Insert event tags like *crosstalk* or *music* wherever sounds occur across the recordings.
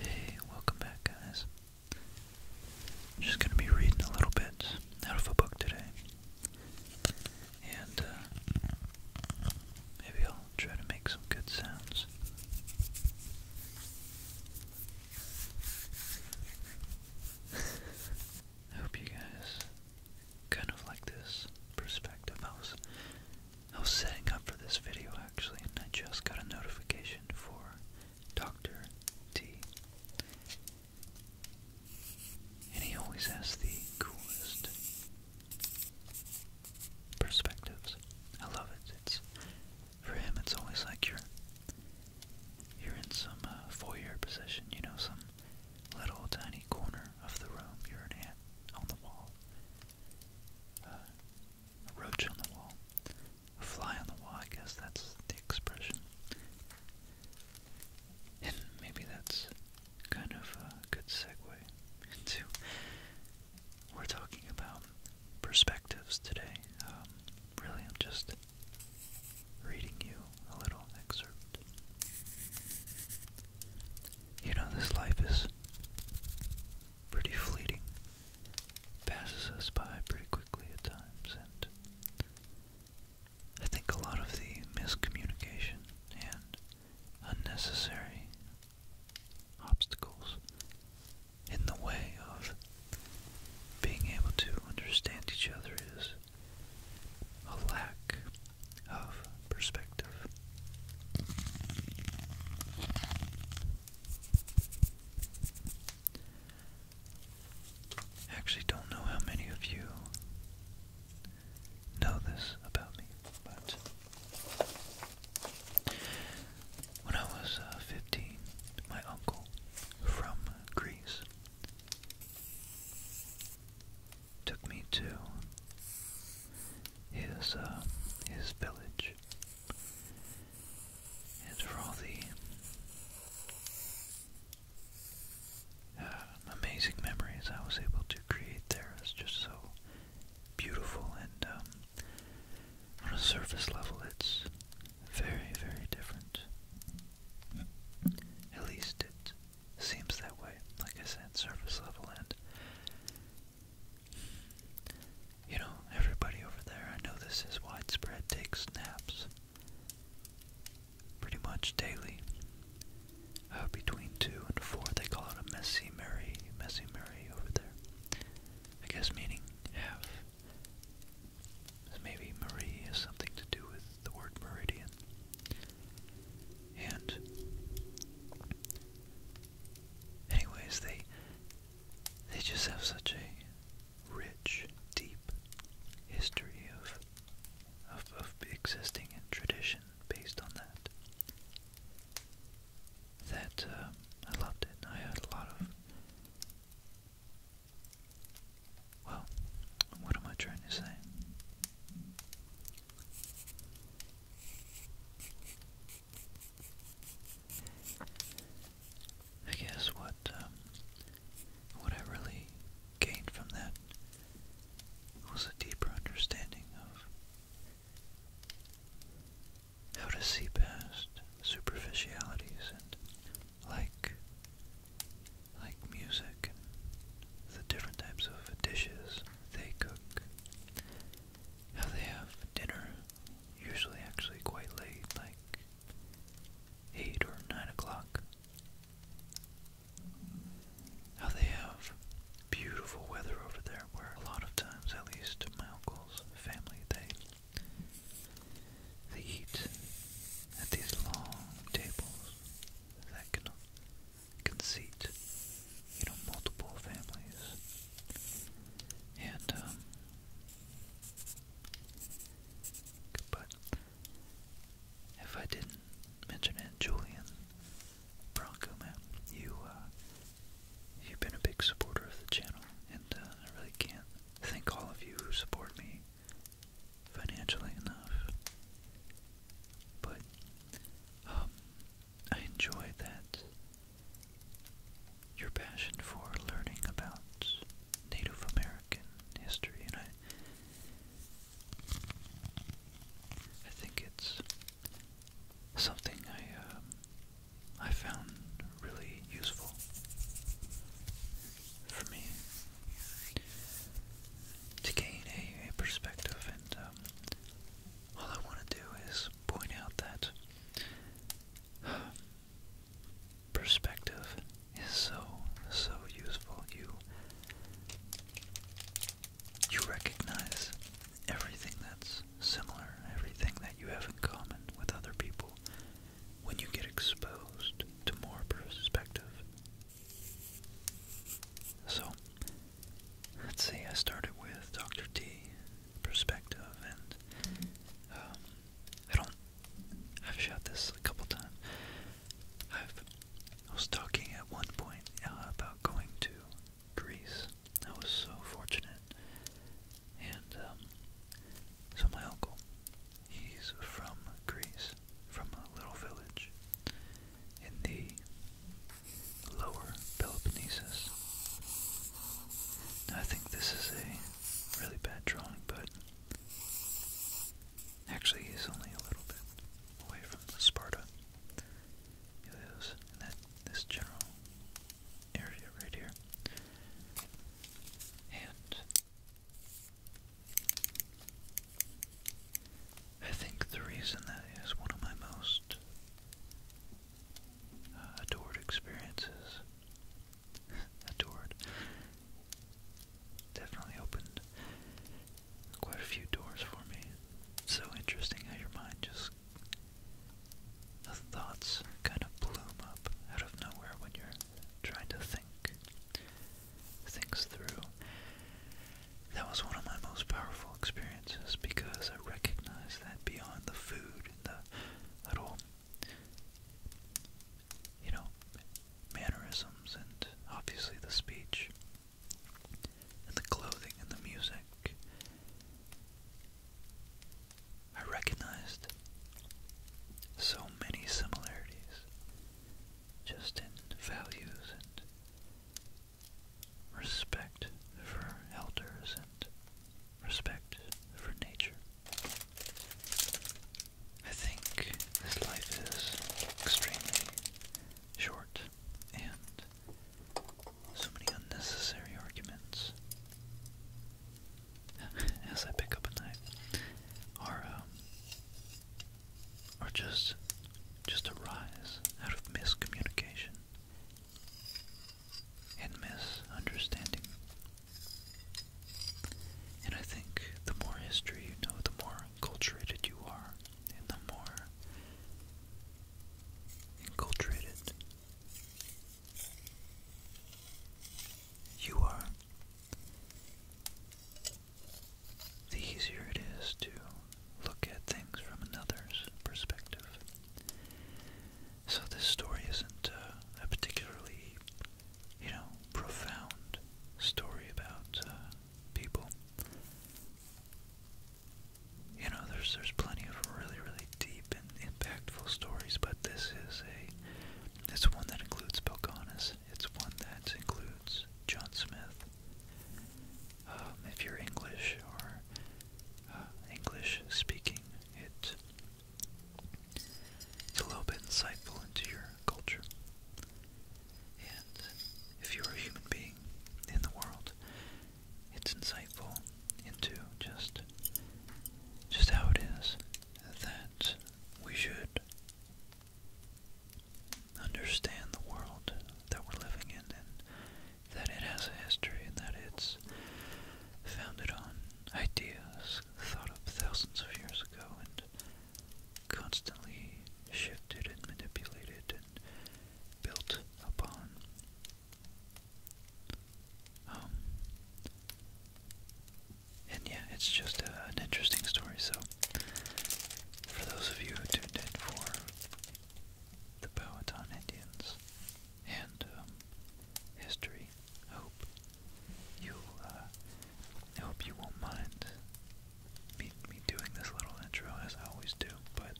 Hey, welcome back guys. I'm just going to be reading a little bit out of a book today. And uh, maybe I'll try to make some good sounds. I hope you guys kind of like this perspective. I I was setting up for this video actually, and I just got a notification for Dr. T. And he always has the coolest perspectives. I love it. It's for him. It's always like you're you're in some uh, foyer position, you know, some little tiny corner of the room. You're an ant on the wall, a roach on the wall, a fly on the wall, I guess that's the expression. And maybe that's kind of a good segue into. We're talking about perspectives today. Um, really, I'm just reading you a little excerpt. You know, this life is pretty fleeting. Passes us by pretty quickly at times, and I think a lot of the miscommunication and unnecessary obstacles in the way of being able to understand each other is a lack of perspective. I actually don't know how many of you know this about me, but when I was uh, 15, my uncle from Greece took me to his uh, his village, and for all the uh, amazing memories I was able to create there. It's just so beautiful, and um, on a surface level, it's very, very different. At least it seems that way. Like I said, surface level and you know, everybody over there, I know this is widespread, Take naps pretty much daily. Uh, between 2 and 4, they call it a messy Mary, messy Mary over there. I guess meaning half. Maybe Marie has something to do with the word meridian. And Anyways, they they just have such a rich, deep history of of, existing in tradition based on that. That um, I loved it. I had a lot of. Well, what am I trying to say? I guess what um, what I really gained from that was a deeper understanding of how to see past superficialities and like like music and the different types of dishes they cook how they have dinner, usually actually quite late, like 8 or 9 o'clock. How they have beautiful weather over there, where a lot of times, at least my uncle's family, they they eat at these long tables that can can seat you know, multiple families. And, um, but if I didn't mention it, Julian Bronco, man, you, uh, you've been a big supporter of the channel, and uh, I really can't thank all of you who support me financially enough. But, um, I enjoy that your passion for learning about Native American history, and I, I think it's something I um, I found really useful for me to gain a, perspective, and um, all I want to do is point out that perspective is so, so useful. You, you recognize everything that's similar, everything that you have in common with other people when you get exposed to more perspective. So, let's see, I started with Dr. T perspective, and um, I don't. I've shot this a couple times. I've, I was talking at one point uh, about going to Greece. I was so fortunate, and um, so my uncle, he's from Greece, from a little village in the Lower Peloponnesus. I think this is a really bad drawing, but actually he's only a little bit away from Sparta. He lives in that this general area right here. And I think the reason that is one of my most uh, adored experiences. *laughs* adored. Definitely opened quite a few doors for me. It's so interesting how your mind just. The thoughts kind of bloom up out of nowhere when you're trying to think things through. That was one of my most powerful wonderful experiences because I recognize that beyond the food and the little, you know, mannerisms and obviously the speech and the clothing and the music, I recognized so many similarities just in values and respect for elders and respect for nature. I think this life is extremely short and so many unnecessary arguments. *laughs* As I pick up a knife, are um, are just just arise out of miscommunication and misunderstanding. And I think the more history you know, the more cultured you are, and the more enculturated you are, the easier it is to look at things from another's perspective. So this story isn't uh, a particularly, you know, profound story about uh, people. You know, there's there's plenty of really really deep and impactful stories, but this is a it's one that includes Belconis. It's one that includes John Smith. Um, if you're English or uh, English speaking, it, it's a little bit insightful into your culture. And if you're a human being in the world, it's insightful into just just how it is that we should understand the world that we're living in that it has a history and that it's founded on ideas thought up thousands of years ago and constantly shifted and manipulated and built upon. Um, and yeah, it's just an interesting story. So, for those of you who tuned in for the Powhatan Indians, and um, history. I hope you'll, I uh, hope you won't mind me, doing this little intro as I always do, but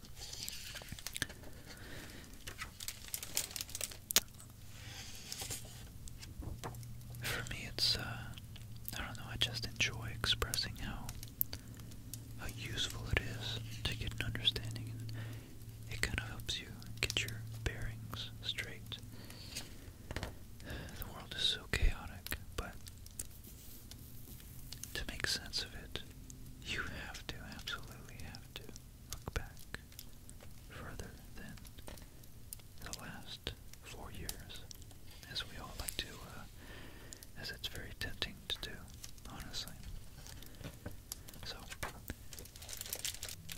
for me it's, uh, I don't know, I just enjoy expressing how, how useful it is to get an understanding it kind of helps you get your bearings straight. The world is so chaotic, but to make sense of it, you have to, absolutely have to, look back further than the last four years, as we all like to, uh, as it's very tempting to do, honestly. So,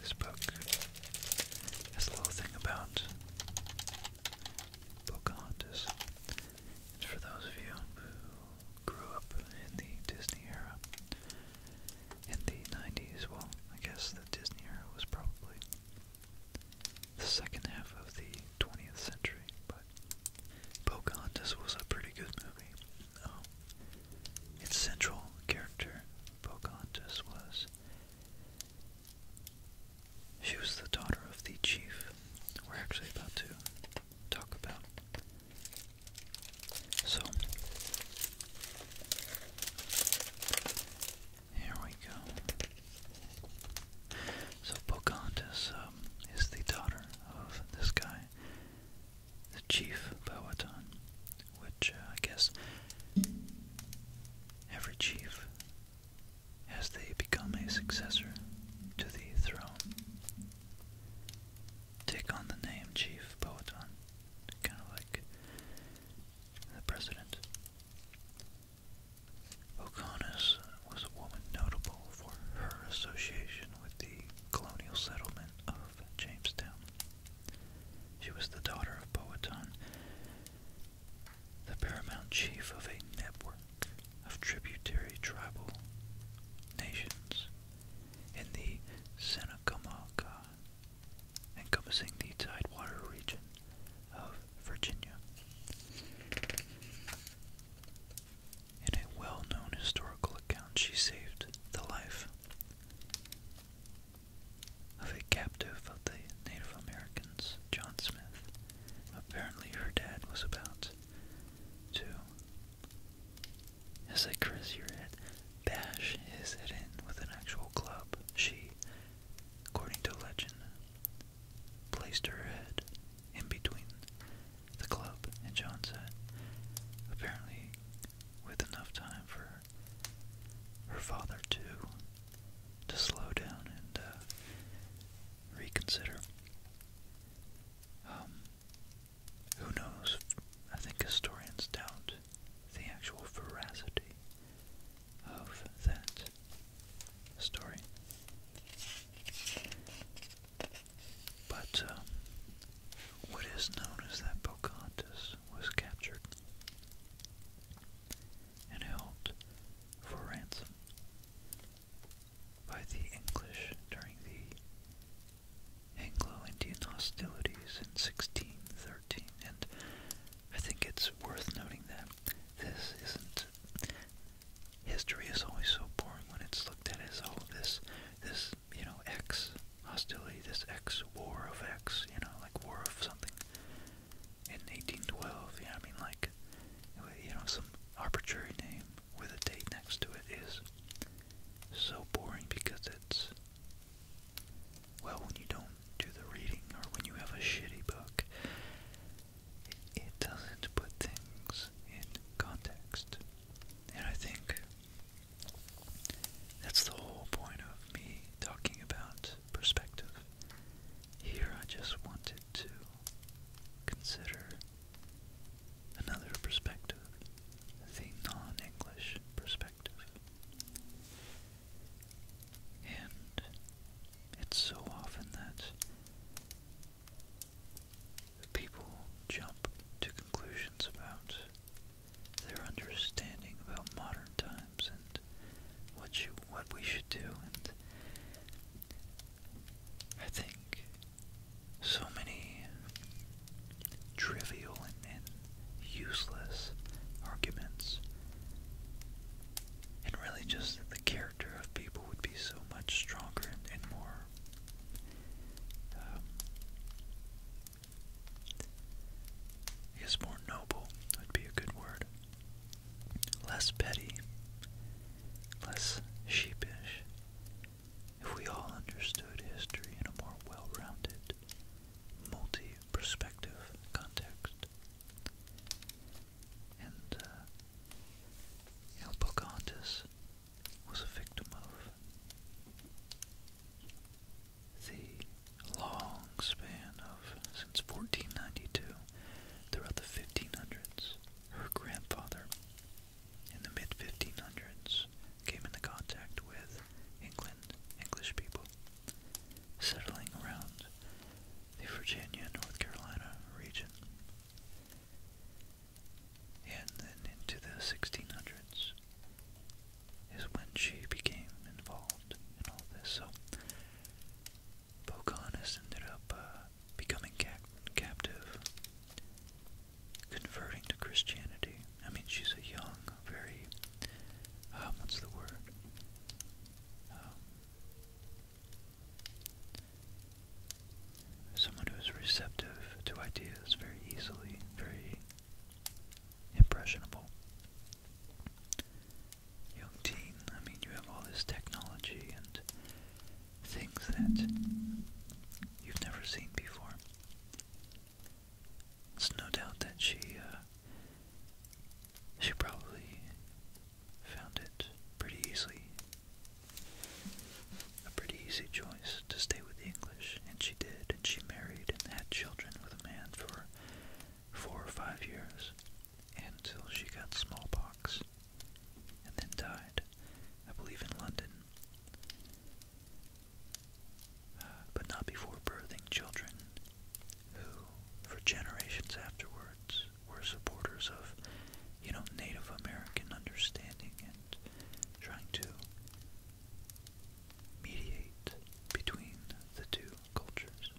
this book has a little thing about Pocahontas. It's for those of you who grew up in the Disney era. In the 90s, well, I guess the Disney era was probably the second half of the 20th century, but Pocahontas was a pretty good movie. Its central character, Pocahontas, was. She was the daughter of the chief we're actually about to talk about. So, here we go. So, Pocahontas um, is the daughter of this guy, the chief Powhatan, which uh, I guess every chief, as they become a successor to the throne, take on the name Chief Powhatan, kind of like the president. O'Connors was a woman notable for her association with the colonial settlement of Jamestown. She was the daughter of Powhatan, the paramount chief of a network of tributary tribal nations in the Seneca, encompassing the Tidewater region of Virginia. In a well known historical account, she saved the life of a captive of the Native Americans, John Smith. Apparently, her dad was about to, as I caress your head, bash his head in with an actual club. She, according to legend, placed her head in between the club, and John said, apparently with enough time for her father to to slow down and uh, reconsider. Um, who knows? I think historians doubt the actual veracity of that story. But uh, what is known is that Pocahontas was captured and held for ransom by the English during the Anglo-Indian hostilities in 1613. And I think it's worth noting that this isn't. History is always so boring when it's looked at as all this this, you know, X hostility, this X war of X, you know, like war of something in 1812, yeah I mean, like, you know, some arbitrary name with a date next to it is so boring because it's, well, when you don't do the reading or when you have a shitty book, it, it doesn't put things in context. And I think that's the whole point of me talking about perspective. Here I just wanted to consider another perspective, the non English perspective. And it's so often that people jump to conclusions about their understanding about modern times and what you what we should do and I think so many trivial and, useless arguments and really just that the character of people would be so much stronger and, more um, is more noble, would be a good word. Less petty, less sheepish. If we all understood history in a more well rounded, multi perspective context. And, uh, was a victim of. The long span of since 1492 throughout the 1500s, her grandfather in the mid 1500s came into contact with England, English people, settling around the Virginia, North Carolina region and then into the 1600s is when she became involved in all this. So Pocahontas ended up uh, becoming cap captive, converting to Christianity. I mean, she's a young, very, uh, what's the word? Um, someone who is receptive to ideas very easily, very impressionable. Young teen, I mean, you have all this technology and things that you've never seen before. It's no doubt that she, uh, she probably found it pretty easily, a pretty easy choice to stay with the English and she did, and she married and had children with a man for four or five years until she got smallpox and then died, I believe in London, uh, but not before birthing children who, for generations afterwards, were supporters of, you know, Native American understanding and trying to mediate between the two cultures.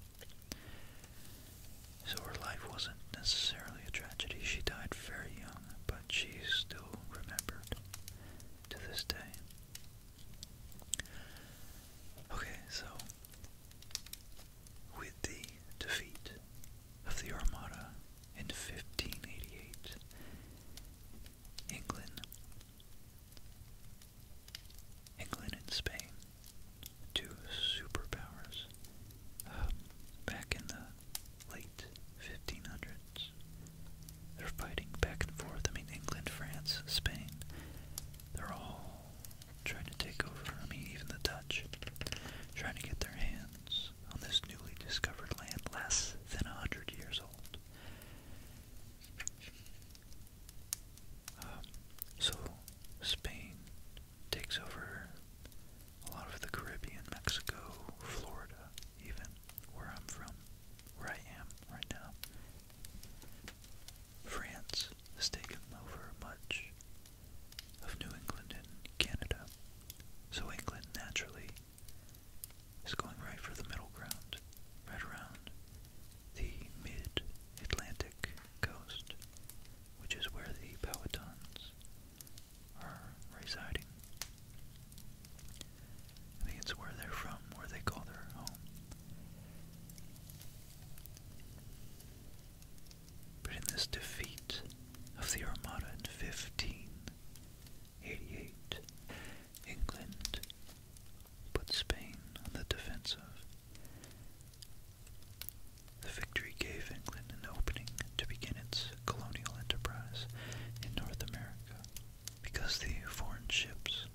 So her life wasn't necessarily a tragedy. She died very young, but she's still remembered to this day. Okay, so with the defeat of the Armada in 1588, England, England and Spain, two superpowers, um, back in the late 1500s. They're fighting back and forth. I mean, England, France, Spain, they're all trying to take over. I mean, even the Dutch, trying to get their hands on this newly discovered land less than a hundred years old. Um, so Spain takes over a lot of the Caribbean, Mexico, Florida, even where I'm from, where I am right now. France has taken over much of New England and Canada. So England naturally is going right for the middle ground, right around the mid Atlantic coast, which is where the Powhatans are residing. I think it's where they're from, where they call their home. But in this defeat of the Armada in 1588, England put Spain on the defensive. The victory gave England an opening to begin its colonial enterprise in North America. Because the foreign ships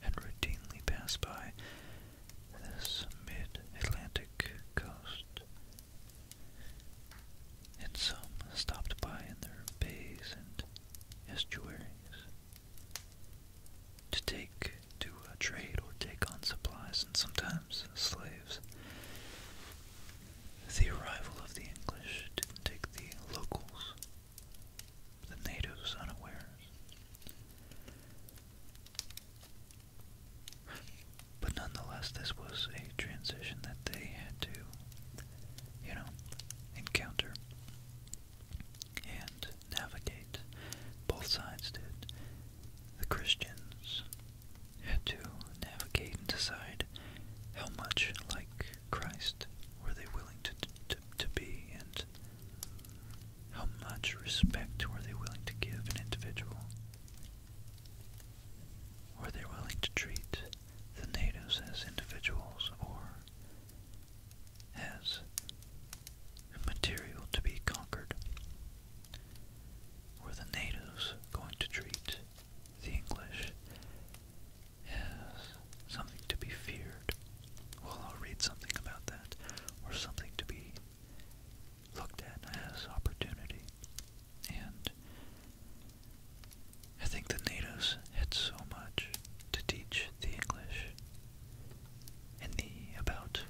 had routinely passed by this mid-Atlantic coast, and some stopped by in their bays and estuaries to take to uh, trade or take on supplies and sometimes slaves. The arrival of the English didn't take the locals, the natives unawares. But nonetheless, this was a transition that they had to, you know, encounter and navigate. Both sides did. The Christians had to navigate and decide how much like Christ were they willing to, to, to be and how much respect were they willing to give an individual. Were they willing to treat the natives as individuals or as a material to be conquered. Were the natives going to treat the English as something to be feared? Well, I'll read something about that, or something to be looked at as opportunity. And I think the natives had so much to teach the English and the about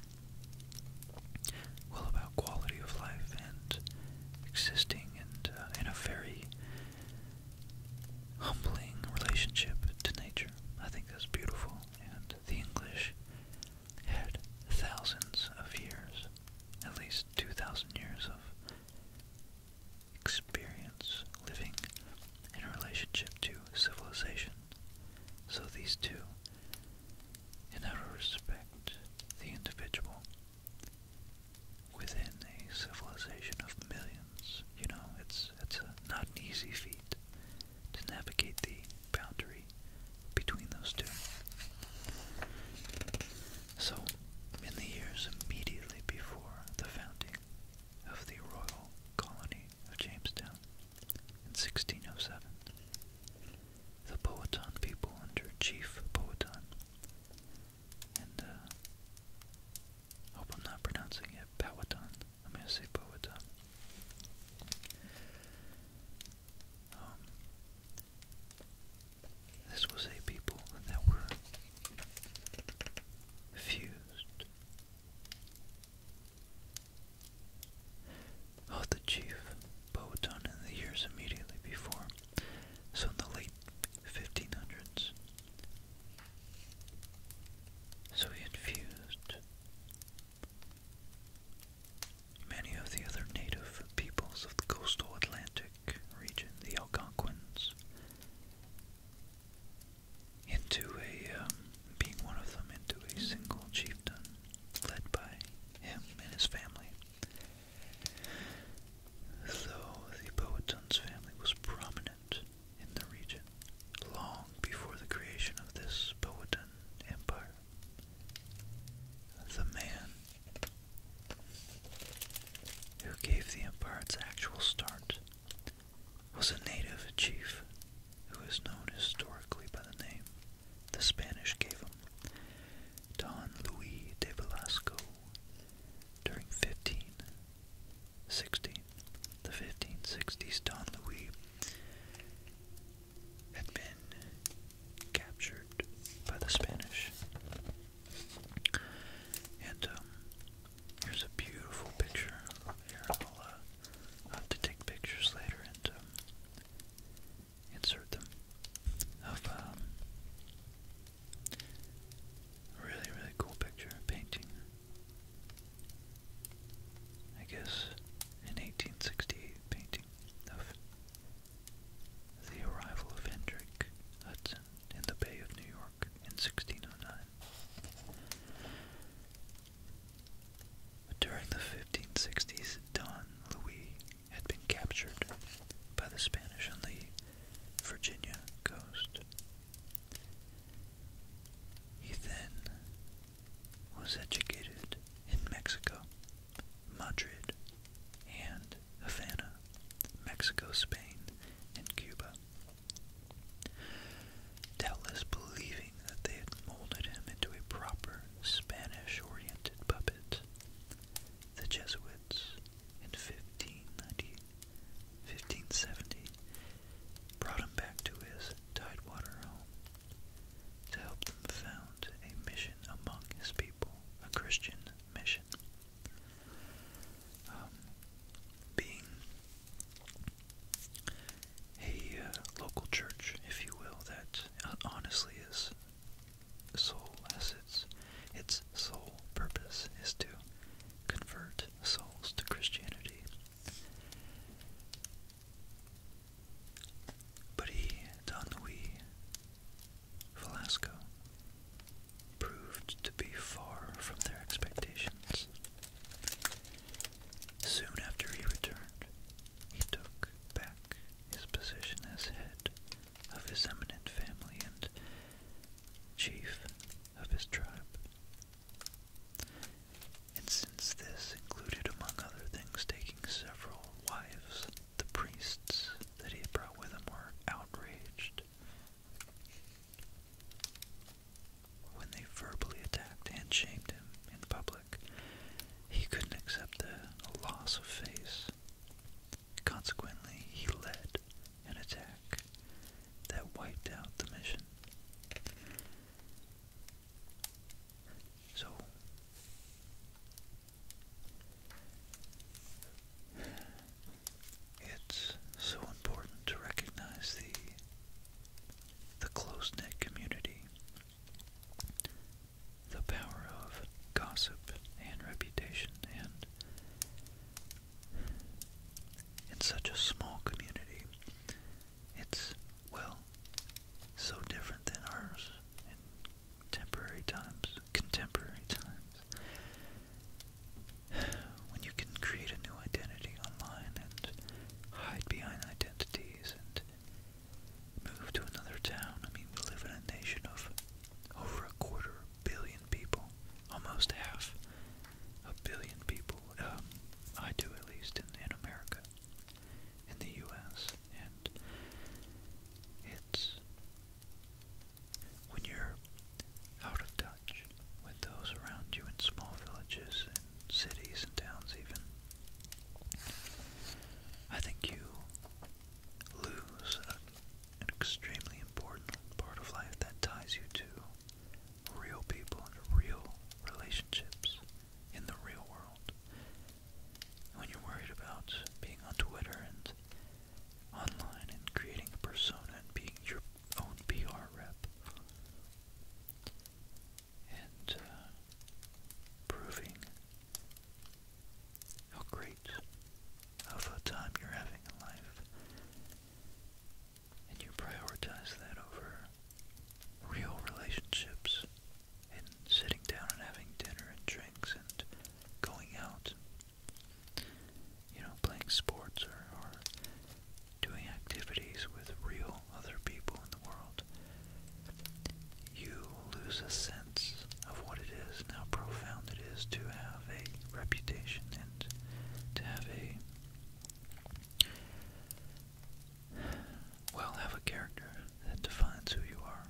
well about quality of life and existing and in uh, a very humbling relationship to nature. I think that's beautiful and the English had thousands of years, at least 2,000 years of experience living in relationship to civilization. So these two, in how respect the individual within a civilization of millions, you know, it's it's a, not an easy feat to navigate the boundary between those two. So, in the years immediately before the founding of the royal colony of Jamestown in 1607. The Powhatan people under Chief Powhatan, and uh, hope I'm not pronouncing it Powhatan. I'm gonna say Powhatan. Um, this was a people that were fused. Of oh, the chief Botan in the years immediately before, so in the late 1500s. So he had fused many of the other native peoples of the coastal Atlantic region, the Algonquins, into a um, being one of them into a single chieftain led by him and his family. Though the Powhatan's family was prominent in the region long before the creation of this Powhatan empire, the man who gave the empire its actual start was a native chief who is known historically by the name the Spanish gave him, Don Luis de Velasco. During 1516, the 1560s, Don Luis had been captured by the Spanish. And um, Here's a beautiful picture here. I'll have to take pictures later and um, insert them of um, a really, really cool picture, painting. I guess in 1868 painting of the arrival of Hendrik Hudson in the Bay of New York in 1609. During the 1560s, Don Louis had been captured by the Spanish on the Virginia coast. He then was educated in Mexico, Madrid, and Havana, Mexico, Spain, and Cuba doubtless believing that they had molded him into a proper Spanish-oriented puppet. The Jesuits, in 1590, brought him back to his tidewater home to help them found a mission among his people, a Christian mission. Um, being a uh, local church, if you will, that uh, honestly is soul as its its sole purpose is to convert souls to Christianity. But Don Luis Velasco, proved to be far from their expectations. Soon after he returned, he took back his position as head of his eminent family and chief of his tribe. And since this included, among other things, taking several wives, the priests that he brought with him were outraged when they verbally attacked and shamed him in public, he couldn't accept the loss of face. Consequently, he led an attack that wiped out the mission. So, it's so important to recognize the the close-knit community, the power of gossip and reputation and in such a small community, it's, well, so different than ours in temporary times, contemporary times when you can create a new identity online and hide behind identities and move to another town. I mean, we live in a nation of over a quarter billion people, almost half a billion people. Um, I do at least in, in America, in the U.S. and it's when you're out of touch with those around you in small villages and cities and towns, even. I think you lose an extremely important part of life that ties you to real people and real relationships in the real world. When you're worried about being on Twitter and online and creating a persona and being your own PR rep and uh, proving how great of a time you're having in life. And you prioritize that over real relationships and sitting down and having dinner and drinks and going out you know, playing sports or, doing activities with real other people in the world, you lose a sense of what it is and how profound it is to have a reputation and to have a well, have a character that defines who you are.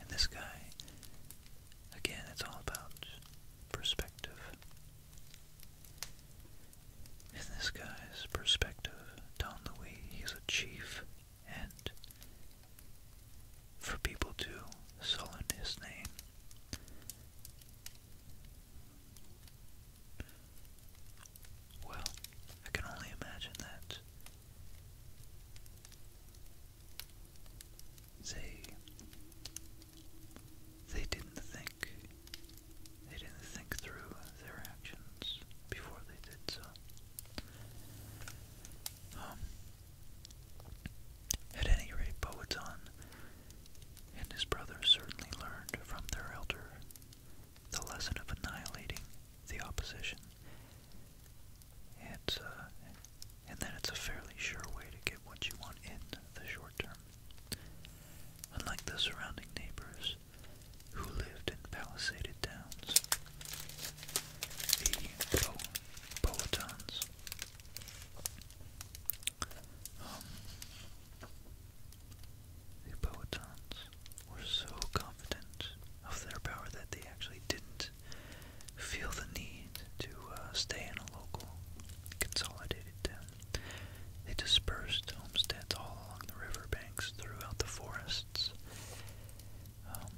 And this guy, again, it's all about perspective. In this guy's perspective, Don Louis, he's a chief, and for people to sullen his name. Well, I can only imagine that they they didn't think. They didn't think through their actions before they did so. Um, at any rate, Poetan and his brother certainly learned from their elder the lesson of annihilating the opposition. It's, and uh, then it's a fairly sure way to get what you want in the short term unlike the surrounding neighbors who lived in palisaded towns. The Poetons. Um, were so confident of their power that they actually didn't feel the need to uh, stay in a local consolidated town. They dispersed homesteads all along the riverbanks throughout the forests. Um,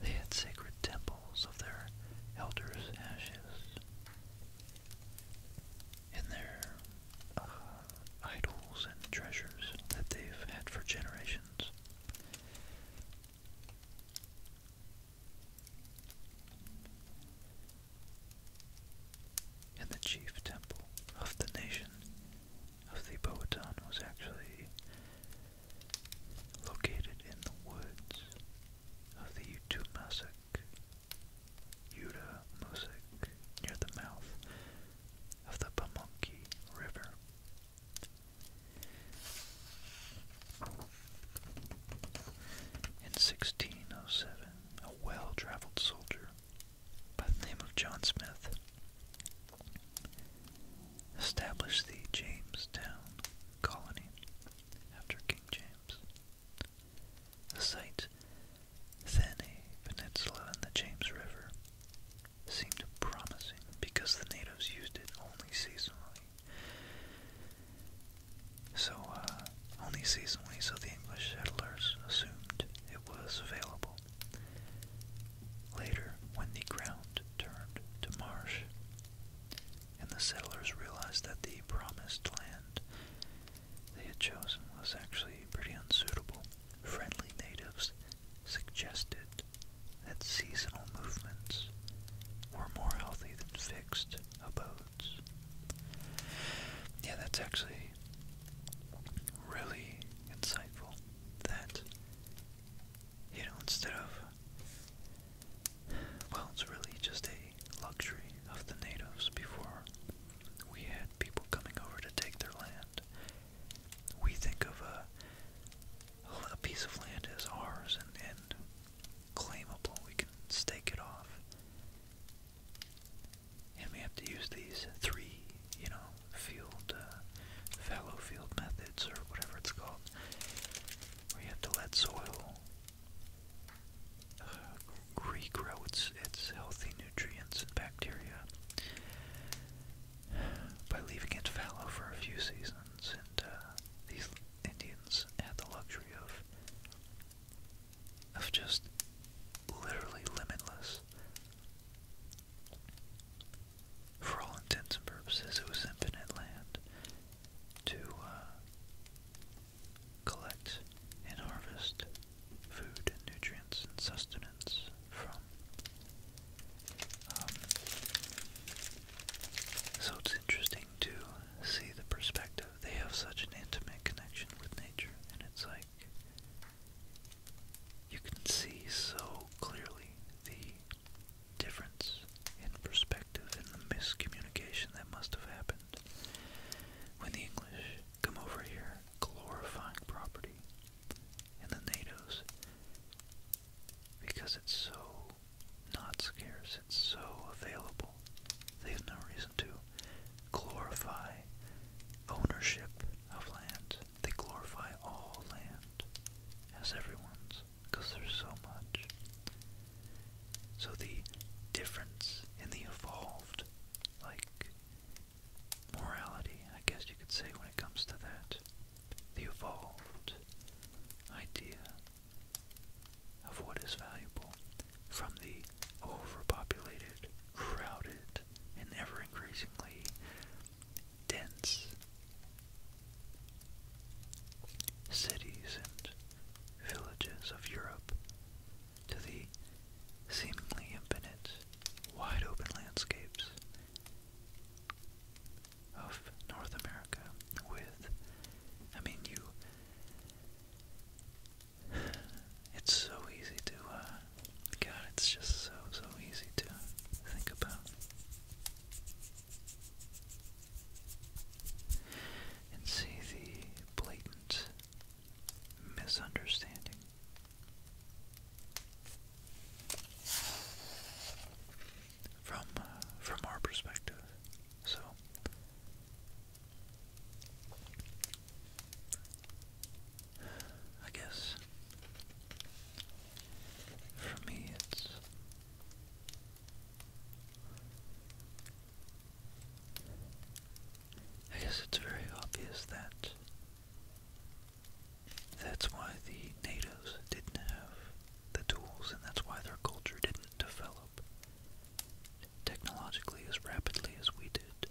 they had sacred temples of their elders' ashes. and their uh, idols and treasures that they've had for generations. And the chief temple of the nation of the Powhatan was actually located in the woods of the Utumasak, Utamusak, near the mouth of the Pamunkey River. In 1607, a well traveled soldier by the name of John Smith established the Jamestown colony after King James. The site, then a peninsula in the James River, seemed promising because the natives used it only seasonally. So, uh, only seasonally, so the English settlers assumed it was available. Later, when the ground turned to marsh, and the settlers realized that the promised land they had chosen was actually pretty unsuitable, friendly natives suggested that seasonal movements were more healthy than fixed abodes episodes. Yeah, that's actually really insightful. That, you know, instead of, well, it's really just a luxury of the natives before we had people coming over to take their land. We think of a, a piece of land as ours and, and claimable. We can stake it off. And we have to use these three, you know, field, uh, fallow field methods or whatever it's called. We have to let soil uh, regrow its, its healthy nutrients and bacteria by leaving it fallow for a few seasons. And uh, these Indians had the luxury of of just literally limitless. For all intents and purposes, it was infinite land to uh, collect and harvest food and nutrients and sustenance from. Um, so it's interesting to see the perspective they have such an intimate connection with nature, and it's like you can see so clearly the difference in perspective and the miscommunication that must have happened when the English come over here glorifying property and the natives because it's so not scarce. It's so available. They have no reason to glorify ownership of land. They glorify all land as everyone's because there's so much. So the difference in the evolved, like, morality, I guess you could say when it comes to that, the evolved idea of what is valuable from the overpopulated, crowded, and ever increasingly dense cities and villages of Europe to the seemingly infinite, wide open landscapes of North America with, I mean, you it's so easy to, uh, God, it's just so, so easy to think about. And see the blatant misunderstanding. From uh, from our perspective, so I guess for me it's I guess it's very obvious that that's why the natives didn't have the tools and that's why their culture didn't develop technologically as rapidly as we did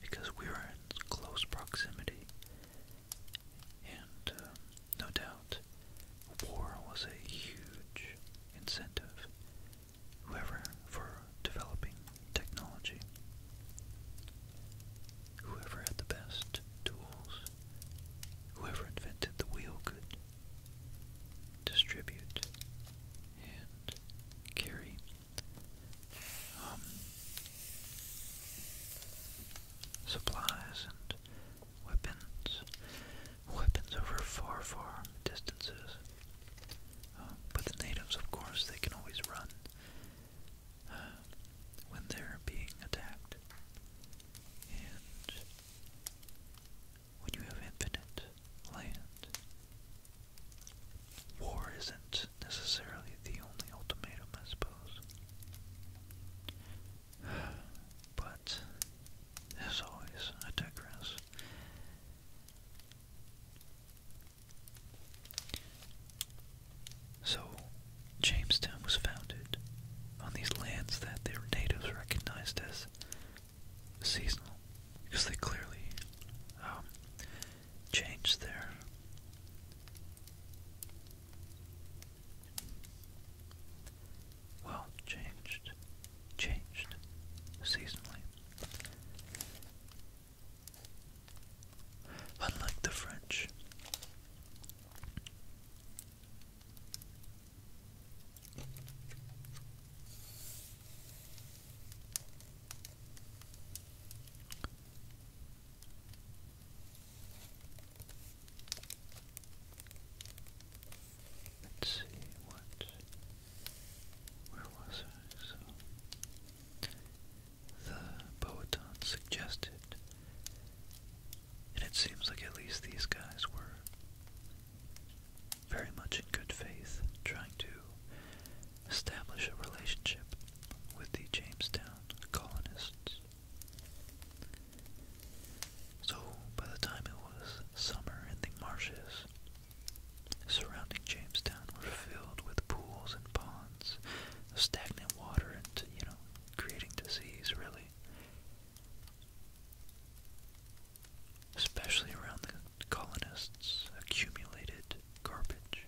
because we were in close proximity. And um, no doubt, war was a huge incentive, whoever, for developing technology. Whoever had the best tools, whoever invented the wheel could distribute, and carry. Um, supplies and weapons, weapons over far, far distances. Uh, but the natives, of course, they can always run uh, when they're being attacked. And when you have infinite land. War isn't necessarily the only ultimatum, I suppose. *sighs* But, as always, I digress. So, Jamestown was founded on these lands that their natives recognized as seasonal because they clearly um, changed their well changed changed seasonally unlike the French Let's see what where was I? the Poeton suggested and it seems like at least these guys were very much in good faith, trying to establish a relationship with the Jamestown colonists. So, by the time it was summer and the marshes surrounding Jamestown were filled with pools and ponds of stagnant water and, you know, creating disease, really especially around the colonists' accumulated garbage.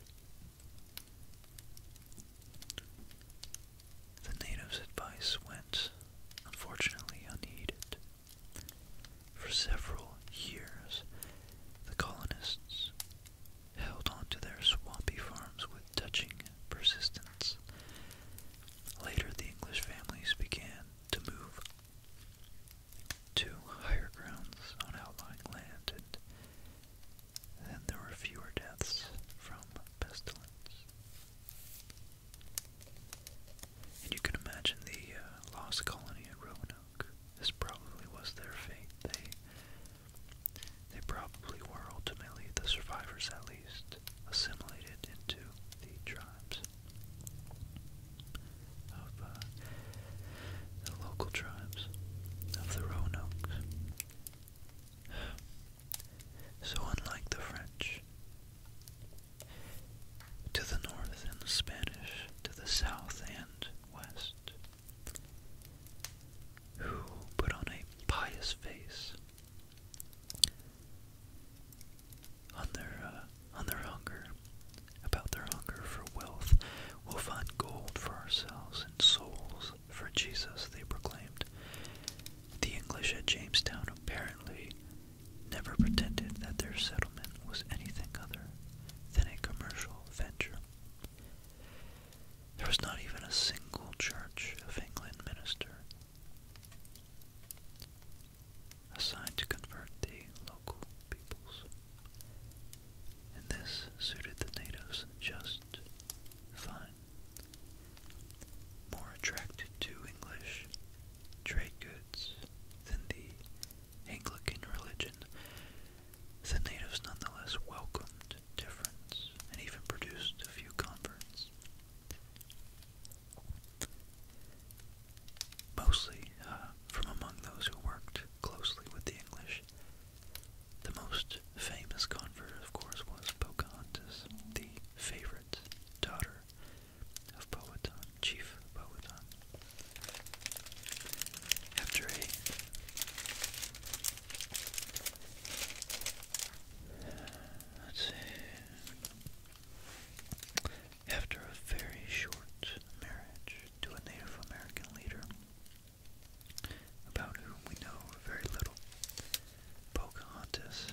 The natives' advice went, unfortunately, unheeded. For several years, the colonists held on to their swampy farms with touching persistence. Later, the English families began to move to higher grounds on outlying land, and there were fewer deaths from pestilence. And you can imagine the uh, lost colony at Roanoke. This probably was their fate. They, they probably were ultimately the survivors, at least, assimilated into the tribes of uh, the local tribes of the Roanoke. *sighs* So, unlike the French, to the north and the Spanish, to the south and west, who put on a pious face, on their uh, on their hunger, about their hunger for wealth, we'll find gold for ourselves and souls for Jesus, they proclaimed. The English at Jamestown apparently never pretended that their settlement was anything other than a commercial venture. There was not even a single Church of England minister assigned to convert the local peoples. And this suited the natives just fine. More attracted to English trade goods than the Anglican religion, the natives nonetheless welcomed difference and even produced a few converts mostly uh, from among those who worked closely with the English. The most famous convert, of course, was Pocahontas, the favorite daughter of Powhatan, Chief Powhatan. After a Let's see. After a very short marriage to a Native American leader, about whom we know very little, Pocahontas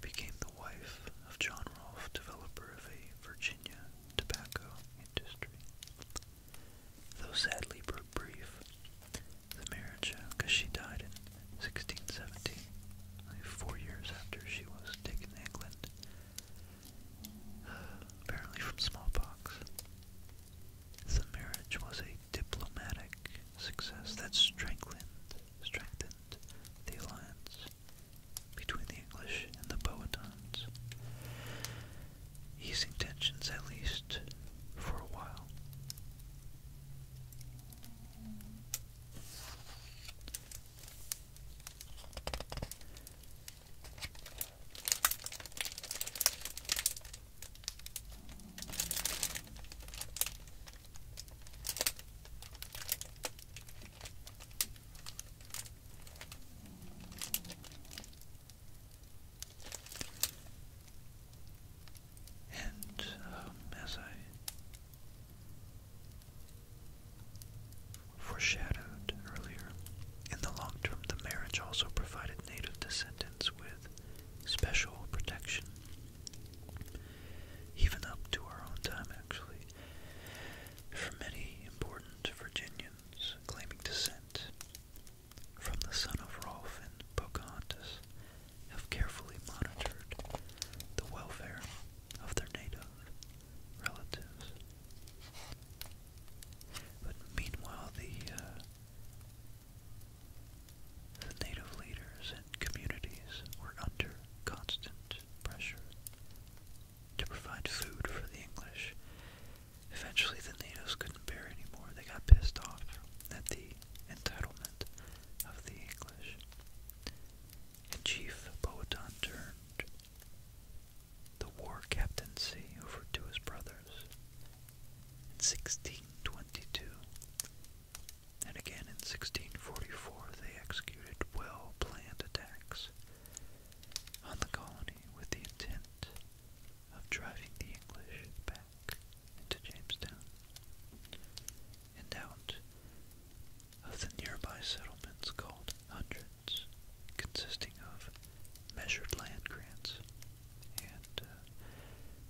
became the wife of John Rolfe, developer of a Virginia tobacco industry. Though sadly brief, the marriage, because uh, she died 1670, only four years after she was taken to England, *sighs* apparently from smallpox. The marriage was a diplomatic success that strengthened, strengthened the alliance between the English and the Powhatans, easing tensions at least for a while. And um, as I Foreshadowed earlier, in the long term, the marriage also provided native descendants with special protection. Even up to our own time, actually, for many important Virginians claiming descent from the son of Rolf and Pocahontas have carefully monitored the welfare of their native relatives. But meanwhile, the, uh, the native leaders and communities were under constant pressure to provide food for the English. Eventually, the natives couldn't bear anymore. They got pissed off at the entitlement of the English chief poet turned the war captaincy over to his brothers in 1622, and again in 1644 they executed well-planned attacks on the colony with the intent of driving the English back into Jamestown and of the nearby settlements called hundreds, consisting of measured land grants and uh,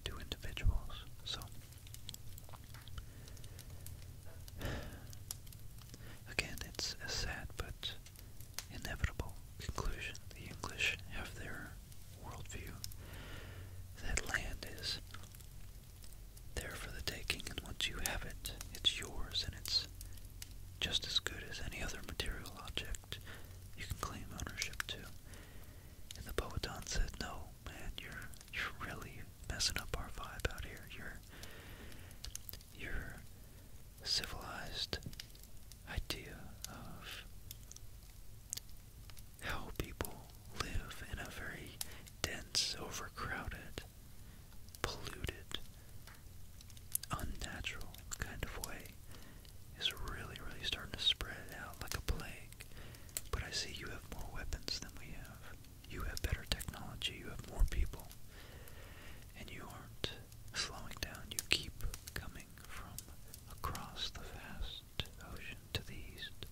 to individuals. So, again, it's a sad but inevitable conclusion. The English have their worldview that land is there for the taking, and once you have it, it's yours and it's just as good as any other material object you can claim ownership to. And the Poetan said, No, man, you're you're really messing up our vibe out here. you your civilized idea of how people live in a very dense, overcrowded polluted, unnatural kind of way is really, really starting to spread out like a plague. But I see you have more weapons than we have. You have better technology. You have more people. And you aren't slowing down. You keep coming from across the vast ocean to the east.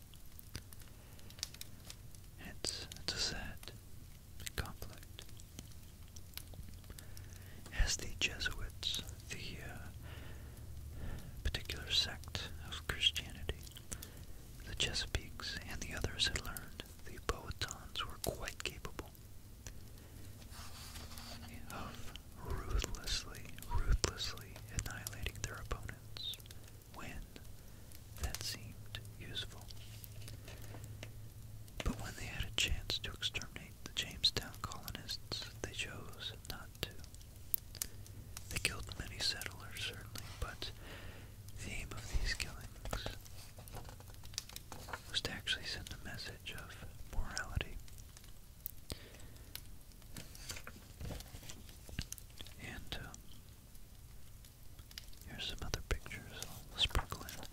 It's, a sad conflict. As the Jesuits, the uh, particular sect of Christianity, the Chesapeakes and the others had learned the Powhatans were quite capable of ruthlessly, ruthlessly annihilating their opponents when that seemed useful. But when they had a chance to exterminate the Jamestown colonists, they chose not to. They killed many settlers, certainly, but the aim of these killings was to actually send a message of morality. And uh, Here's some other pictures I'll sprinkle in.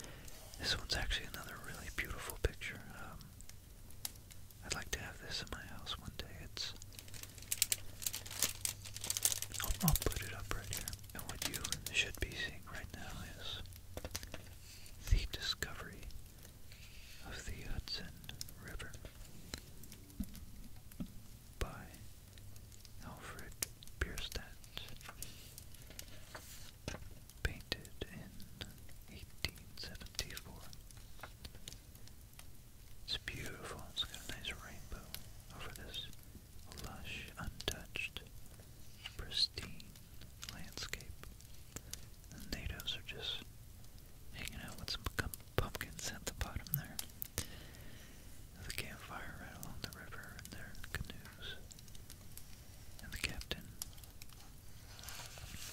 This one's actually another really beautiful picture. Um, I'd like to have this in my house one day. It's I'll, i put it up right here. And what you should be seeing right now is the discovery of the Hudson River by Alfred Bierstadt, painted in 1874. It's beautiful, it's got a nice rainbow over this lush, untouched, pristine landscape. The natives are just hanging out with some pumpkins at the bottom there. The campfire right along the river in their canoes. And the captain.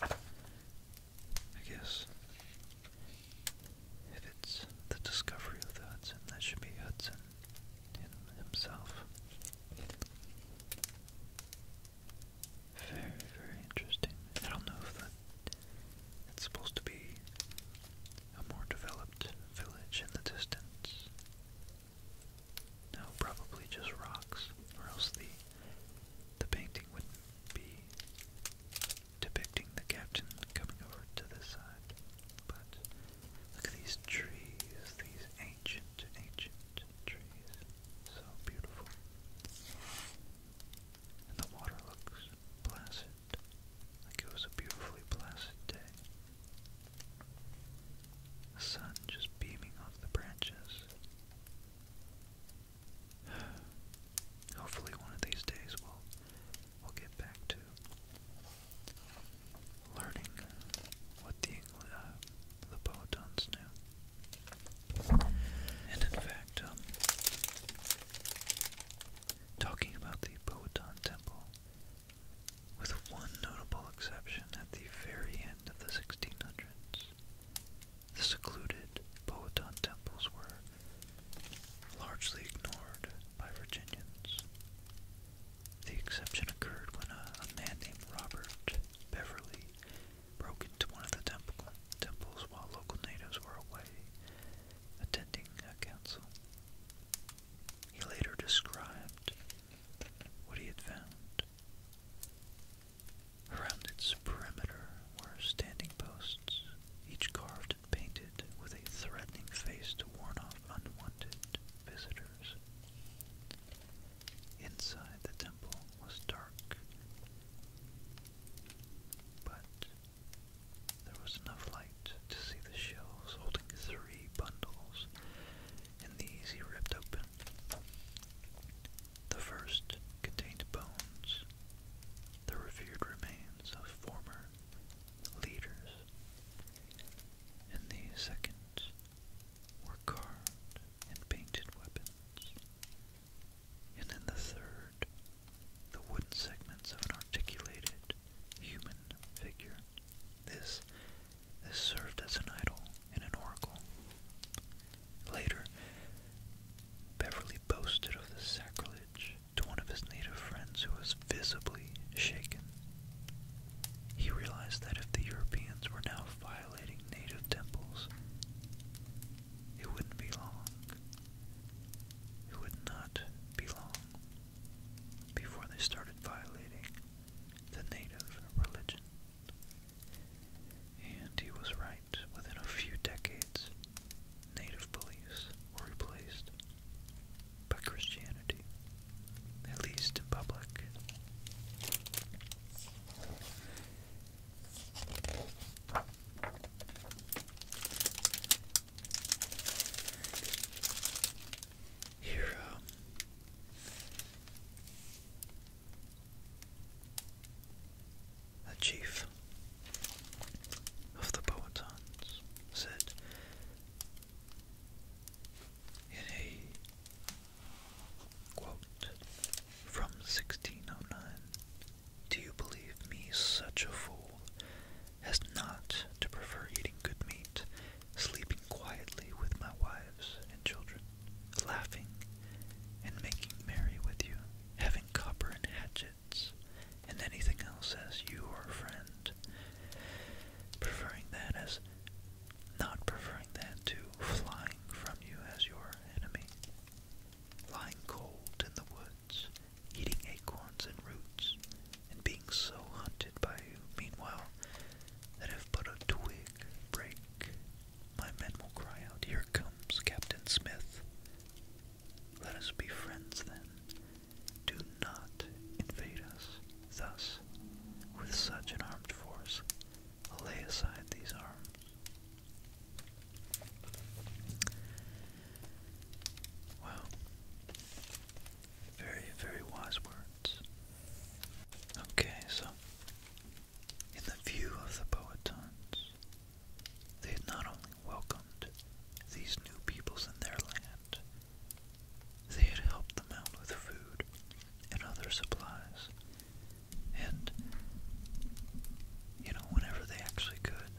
I guess if it's the discovery of the Hudson, that should be Hudson himself. Very, very interesting. I don't know if that it's supposed to be a more developed village in the distance. No, probably just rocks, or else the the painting wouldn't be depicting the captain coming over to this side. But look at these trees, these ancient, ancient trees. So beautiful. And the water looks placid. it was a beautifully placid day. The sun just beaming off the branches. *sighs* Hopefully one of these days we'll we'll get back to learning what the uh, the Poetons knew. And in fact, um, talking about the Poeton Temple with one notable exception at the very end of the 1600s. The secluded Powhatan temples were largely ignored by Virginians. The exception occurred when a, man named Robert Beverly broke into one of the temple, temples while local natives were away attending a council. He later described what he had found. Around its perimeter were standing posts, each carved and painted with a threatening face to warn off unwanted visitors. Inside the temple was dark, but there was enough light to see the shelves holding three bundles, and these he ripped open. The first contained bones, the revered remains of former leaders, and the second were carved and painted weapons. And in the third, the wooden segments of an articulated human figure. This, this served as an idol and an oracle. Later, Beverly boasted of the sacrilege to one of his native friends who was visibly shaken. He realized that if the Europeans were now violating native temples, it wouldn't be long. It would not be long before they started violating the native religion. And he was right. Within a few decades, native beliefs were replaced by Christianity, at least in public hero. The chief of the Powhatans said in a quote from 1609, Do you believe me such a fool as not to prefer eating good meat, sleeping quietly with my wives and children, laughing and making merry with you, having copper and hatchets, and anything else as you or a friend, preferring that as not preferring that to flying from you as your enemy, lying cold in the woods, eating acorns and roots, and being so hunted by you, meanwhile, that if but a twig break, my men will cry out, Here comes Captain Smith. Let us be friends then. Do not invade us thus with such an armed force. Lay aside these arms. Wow. Very, very wise words. Okay, so in the view of the Powhatans, they had not only welcomed these new peoples in their land, they had helped them out with food and other supplies. And, you know, whenever they actually could,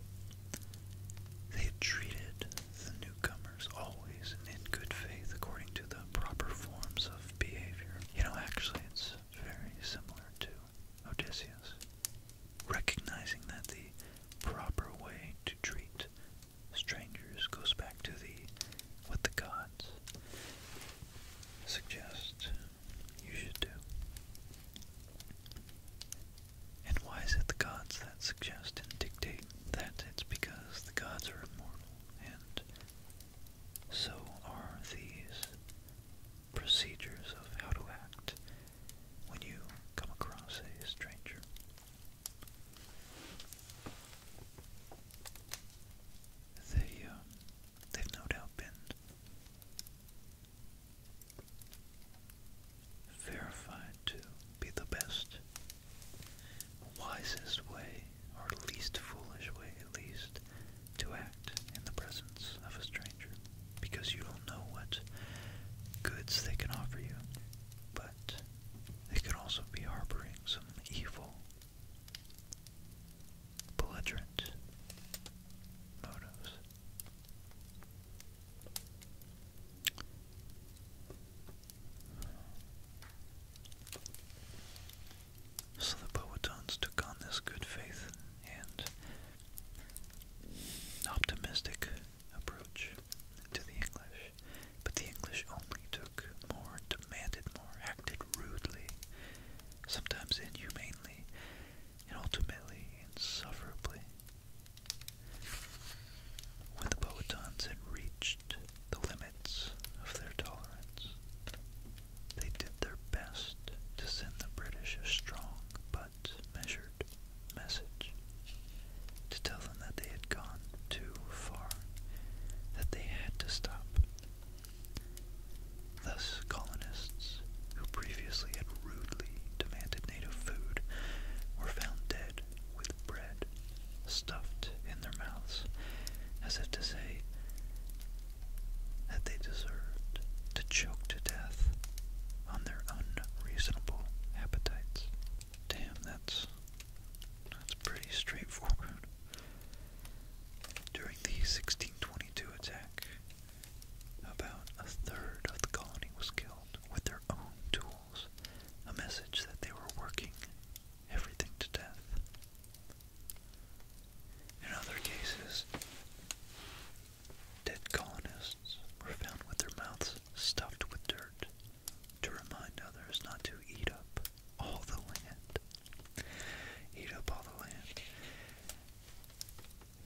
they had treated the newcomers always in good faith according to the proper forms of behavior. You know, actually, it's very similar to Odysseus. Recognizing that the proper way to treat strangers goes back to the what the gods suggest you should do. And why is it the gods that suggest and dictate that it's because the gods are immortal, and so are these procedures of how to act when you come across a stranger. They, um, they've no doubt been verified to be the best wisest way, or least foolish way at least, to act in the presence of a stranger. Because you don't know what goods they can offer you, but they could also be harboring some evil, belligerent motives. So the Boetons took on this good faith and optimistic approach to the English, but the English only took more, demanded more, acted rudely, sometimes inhumanly, and ultimately insufferably. When the Poetons had reached the limits of their tolerance, they did their best to send the British a strong but measured message to tell them that they had gone too far, that they had to stop. Thus, colonists who previously had rudely demanded native food were found dead with bread stuffed in their mouths, as if to say that they deserved to choke to death on their unreasonable appetites. Damn, that's that's pretty straightforward. During the 1622 attack, about a third of the colony was killed with their own tools a message that they were working everything to death. In other cases, dead colonists were found with their mouths stuffed with dirt to remind others not to eat up all the land. Eat up all the land.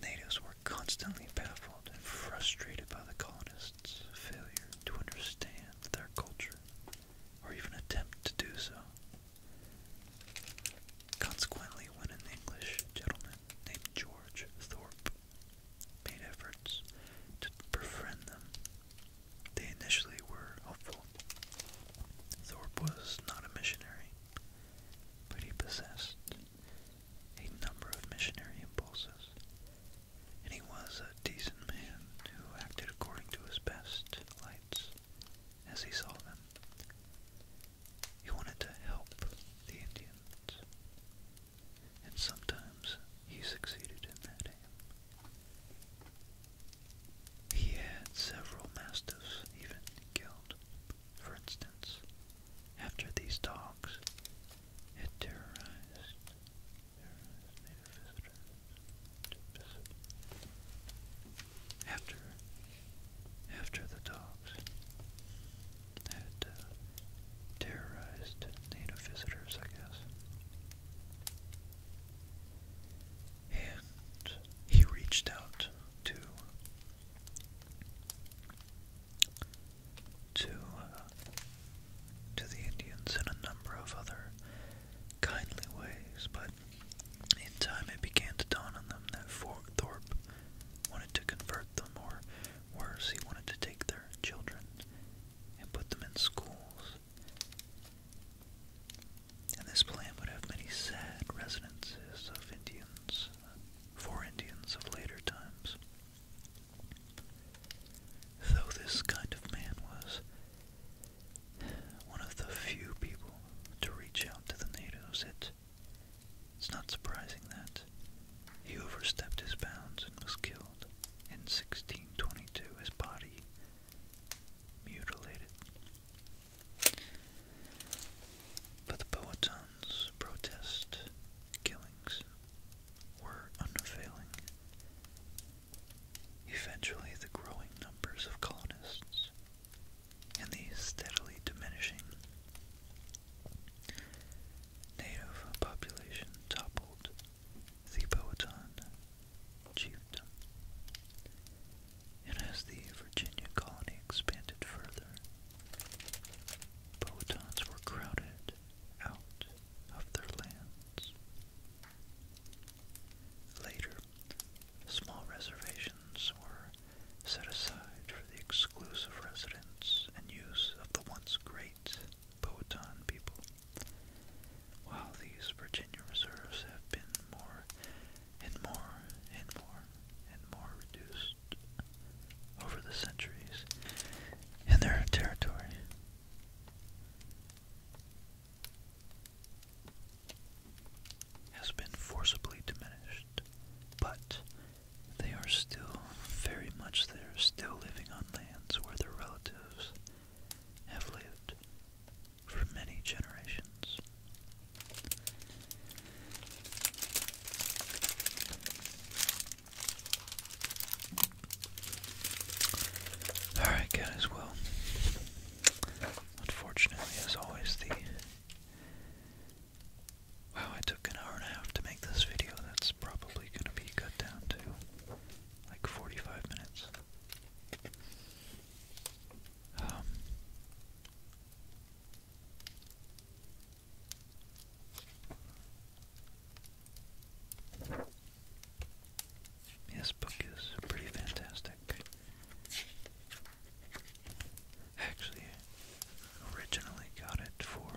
Natives were constantly baffled and frustrated by the colonists' failure to understand their culture or even attempt to do so. Consequently, when an English gentleman named George Thorpe made efforts to befriend them, they initially were hopeful. Thorpe was not a missionary, but he possessed a number of missionary impulses and he was a decent man who acted according to his best lights as he saw them. He wanted to help the Indians, and sometimes he succeeded in that aim. He had several mastiffs even killed. For instance, after these dogs it terrorized after, after the dogs had uh, terrorized native visitors, I guess. And he reached out to to uh, to the Indians in a number of other kindly ways, but in time it began to dawn on them that Thorpe wanted to convert them, or worse, he wanted to take their children and put them in schools. And this plan would have many sad resonances of Indians, for Indians of later times. Though this kind of man was one of the few people to reach out to the natives, it's not surprising that he overstepped his bounds and was killed in 1622, his body mutilated. But the Powhatan's protest killings were unfailing. Eventually, the growing numbers of colonists and the steadily diminishing native population toppled the Powhatan chiefdom. And as the Virginia colony expanded further, Powhatans were crowded out of their lands Later, small reservations were set aside for the exclusive residence and use of the once great Powhatan people. While these Virginia reserves have been more and more and more and more reduced over the centuries in their territory, has been forcibly diminished, but they are still very much there, still living on lands where their relatives have lived for many generations. Alright, guys, well, unfortunately, as always, the. Wow, I took an hour and a half to make this video. That's probably going to be cut down to like 45 minutes. Um, this book is pretty fantastic. Actually, originally got it for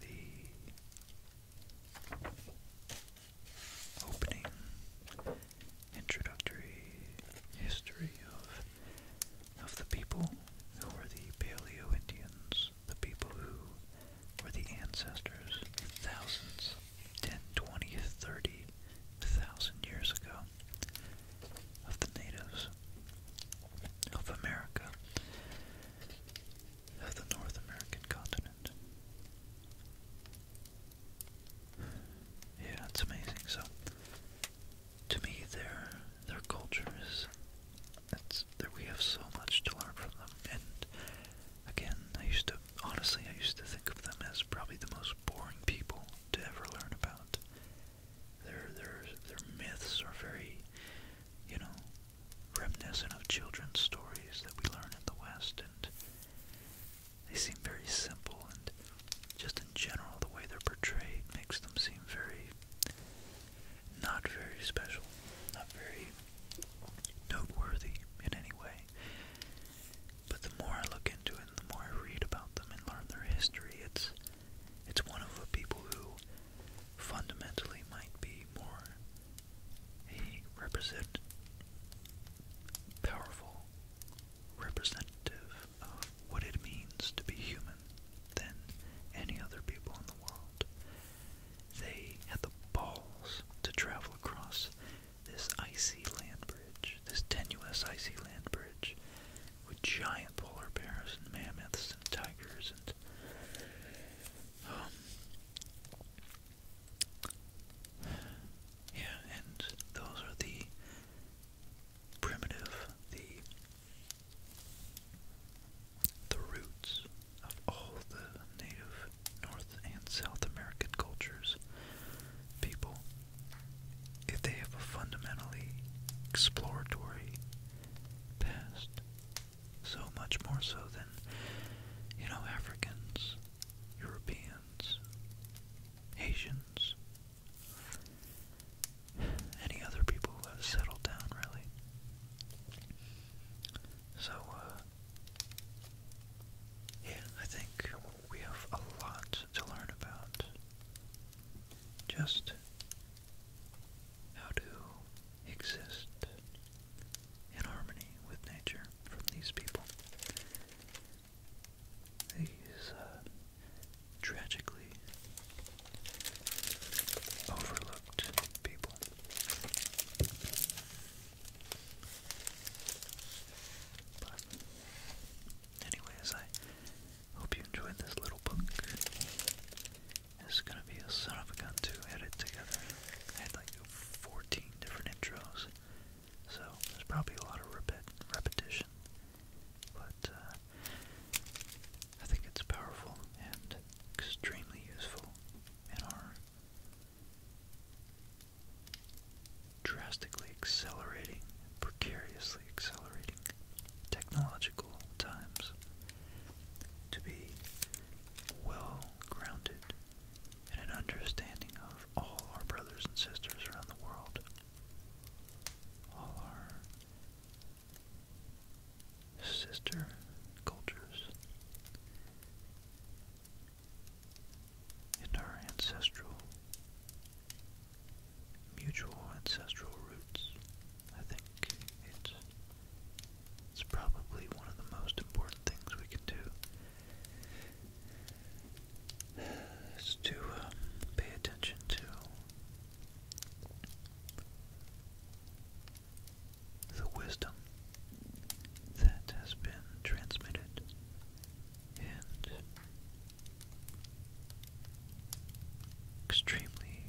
the opening introductory history of of the people who were the Paleo Indians the people who were the ancestors thousands, twenty, thirty thousand years ago, of the natives of America, of the North American continent. Yeah, it's amazing. So, to me, their their culture is that's that we have so much to learn from them. And again, I used to honestly, I used to think of them as probably the most boring people to ever learn about. Their their their myths are very, you know, reminiscent of children's stories that we learn in the West, and they seem very simple. And just in general, the way they're portrayed makes them seem very. Not very special, not very noteworthy in any way. But the more I look into it, the more I read about them and learn their history, it's it's one of the people who fundamentally might be more represent powerful representative of what it means to be human than any other people in the world. They had the balls to travel across this icy land bridge, this tenuous icy land bridge, with giant polar bears and mammoths and tigers and. Um, yeah, and those are the primitive, the the roots of all the native North and South American cultures, people, if they have a fundamentally exploratory past, so much more so than, you know, Africans, Europeans, Asians, any other people who have settled down, really. So, uh, yeah, I think we have a lot to learn about. Just how to exist in harmony with nature from these people. These uh, tragically overlooked people. But anyways, I hope you enjoyed this little book. It's gonna be a son of a gun to edit together. I had like 14 different intros, so there's probably a lot of repet repetition. But uh, I think it's powerful and extremely useful in our drastically accelerating, precariously accelerating technological times to be well grounded in an understanding of all our brothers and sisters around the world, all our sister cultures in our ancestral, mutual ancestral roots. I think it's, it's probably one of the most important things we can do is to um, pay attention to the wisdom that has been transmitted and extremely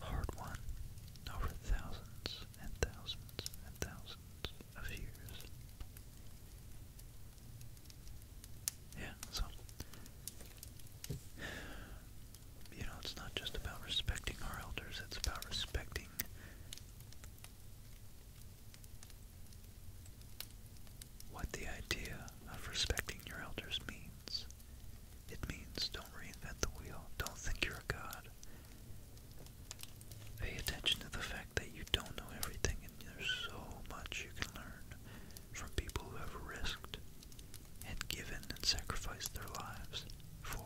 hard won over thousands and thousands and thousands of years. Yeah, so you know, it's not just about respecting our elders, it's about respecting what the idea of respecting your elders means. It means don't reinvent the wheel, don't think you're a god. Pay attention to the fact that you don't know everything and there's so much you can learn from people who have risked and given and sacrificed their lives for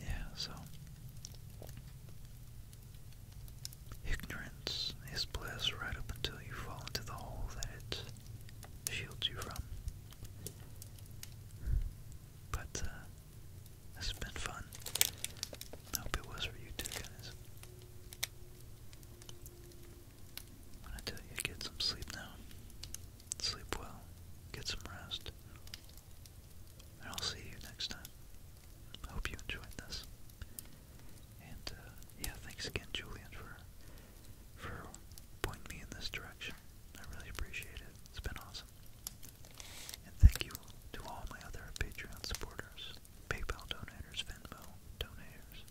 yeah, so ignorance is bliss right up until you fall into the hole that it shields you from. But uh, this has been fun. I hope it was for you too, guys. i tell you get some sleep now. Sleep well, get some rest, and I'll see you next time. I hope you enjoyed this. And uh, yeah, thanks again, Julian, for for pointing me in this direction. I really appreciate it. It's been awesome. And thank you to all my other Patreon supporters, PayPal donators, Venmo donators,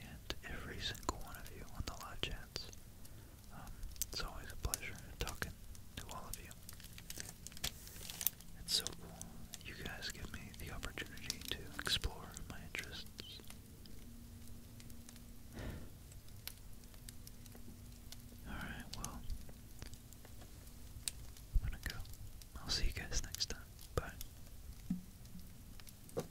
and every single one of you on the live chats. Um, it's always a pleasure talking to all of you. It's so cool. You guys give me the opportunity to explore my interests. Alright, well, I'm gonna go. I'll see you guys next time. Bye.